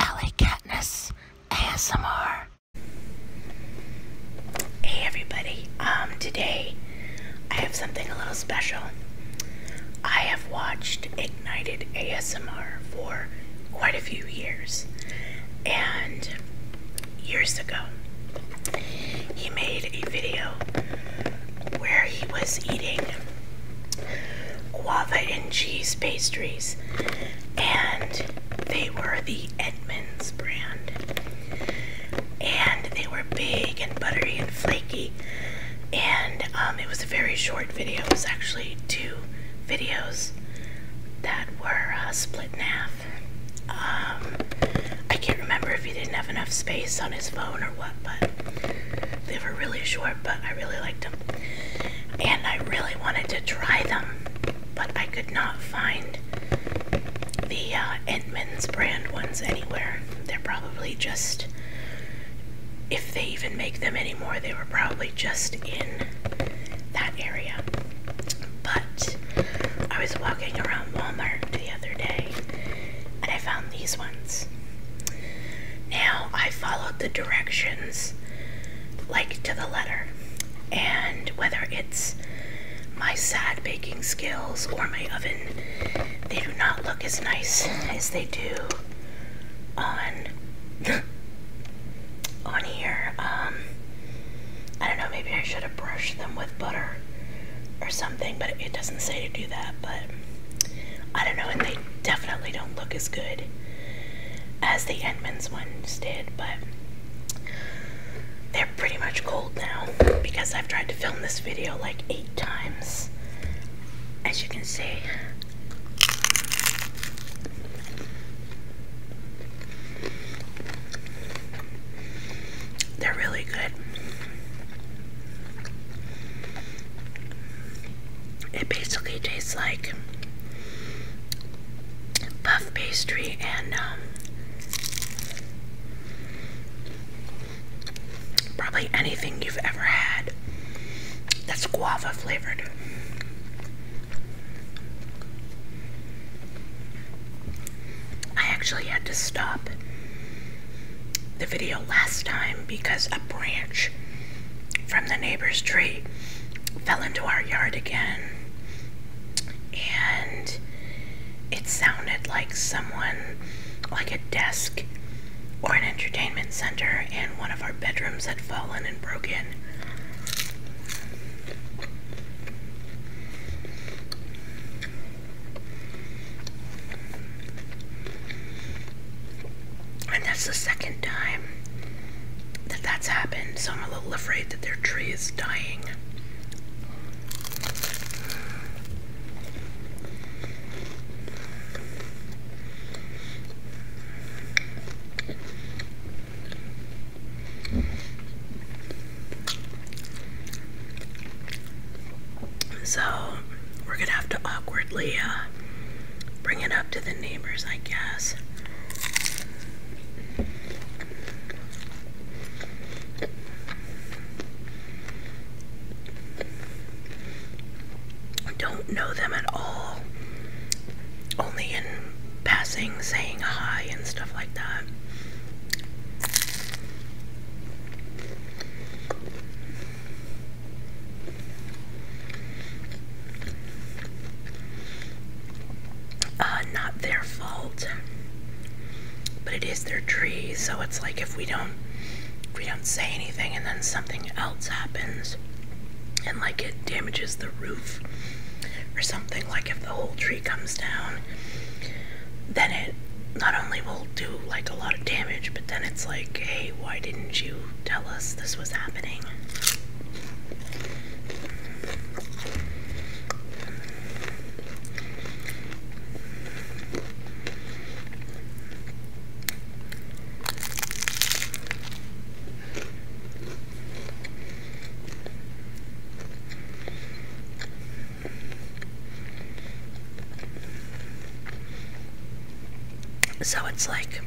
Ellie Katniss ASMR. Hey everybody, um, today I have something a little special. I have watched Ignited ASMR for quite a few years, and years ago, he made a video where he was eating guava and cheese pastries, and they were the Edmonds brand. And they were big and buttery and flaky. And um, it was a very short video. It was actually two videos that were uh, split in half. Um, I can't remember if he didn't have enough space on his phone or what, but they were really short before, but I really liked them. And I really wanted to try them, but I could not find the uh, Entman's brand ones anywhere. They're probably just, if they even make them anymore, they were probably just in that area. But I was walking around Walmart the other day and I found these ones. Now I followed the directions like to the letter, and whether it's my sad baking skills or my oven, they do not look as nice as they do on on here. Um, I don't know. Maybe I should have brushed them with butter or something but it doesn't say to do that. But I don't know, and they definitely don't look as good as the Edmonds ones did, but they're pretty much cold now because I've tried to film this video like eight times, as you can see. They're really good. It basically tastes like puff pastry and um, probably anything you've ever had that's guava flavored. I actually had to stop the video last time because a branch from the neighbor's tree fell into our yard again. And it sounded like someone, like a desk or an entertainment center, in one of our bedrooms had fallen and broken. And that's the second time that that's happened, so I'm a little afraid that their tree is dying. So we're gonna have to awkwardly uh, bring it up to the neighbors, I guess. don't know them at all, only in passing, saying hi and stuff like that. Uh, not their fault, but it is their tree. So it's like if we don't, if we don't say anything, and then something else happens, and like it damages the roof or something like if the whole tree comes down then it not only will do like a lot of damage but then it's like hey why didn't you tell us this was happening so it's like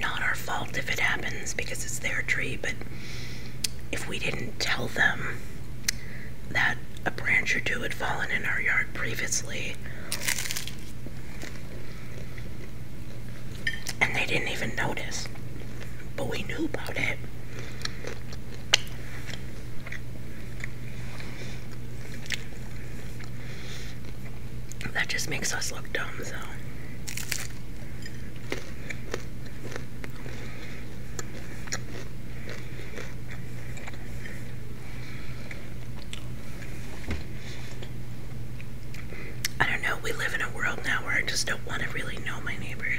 not our fault if it happens because it's their tree, but if we didn't tell them that a branch or two had fallen in our yard previously, and they didn't even notice. But we knew about it. That just makes us look dumb, though. I don't know, we live in a world now where I just don't want to really know my neighbors.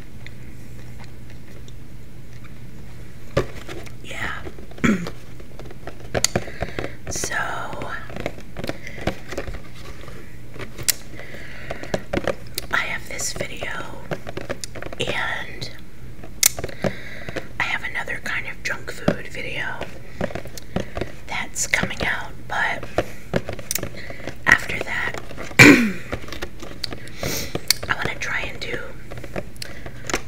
Yeah. so I have this video and I have another kind of junk food video that's coming out, but after that, I want to try and do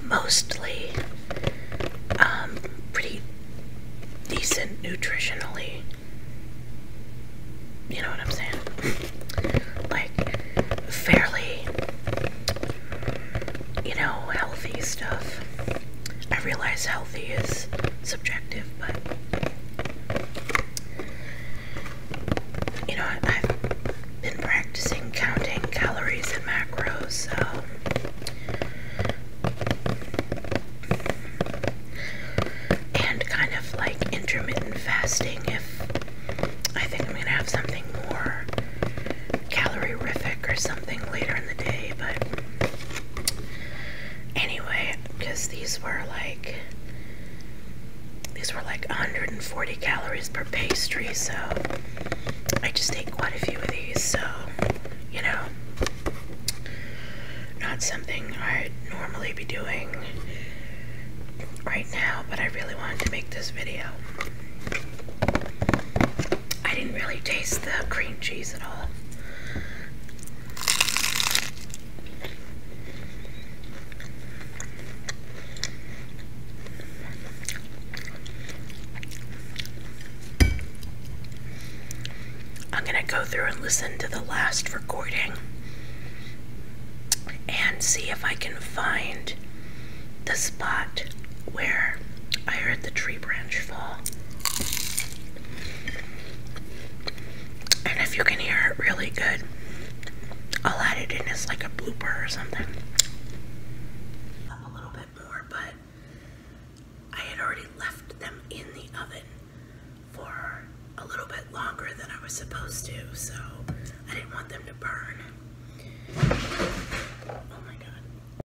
mostly um, pretty decent nutritionally. You know what I'm saying? Like, fairly, you know, healthy stuff. I realize healthy is subjective, but you know, I've been practicing counting calories and macros, and kind of like intermittent fasting if I think I'm gonna have something more calorie rific or something later in the day, but anyway, because these were like these were like 140 calories per pastry, so I just ate quite a few of these, so you know, not something I'd normally be doing right now, but I really wanted to make this video. I didn't really taste the cream cheese at all. I'm going to go through and listen to the last recording and see if I can find the spot where I heard the tree branch fall. And if you can hear it really good, I'll add it in as like a blooper or something. a little bit more, but I had already left them in the oven for a little bit longer than I was supposed to, so I didn't want them to burn. Oh my god.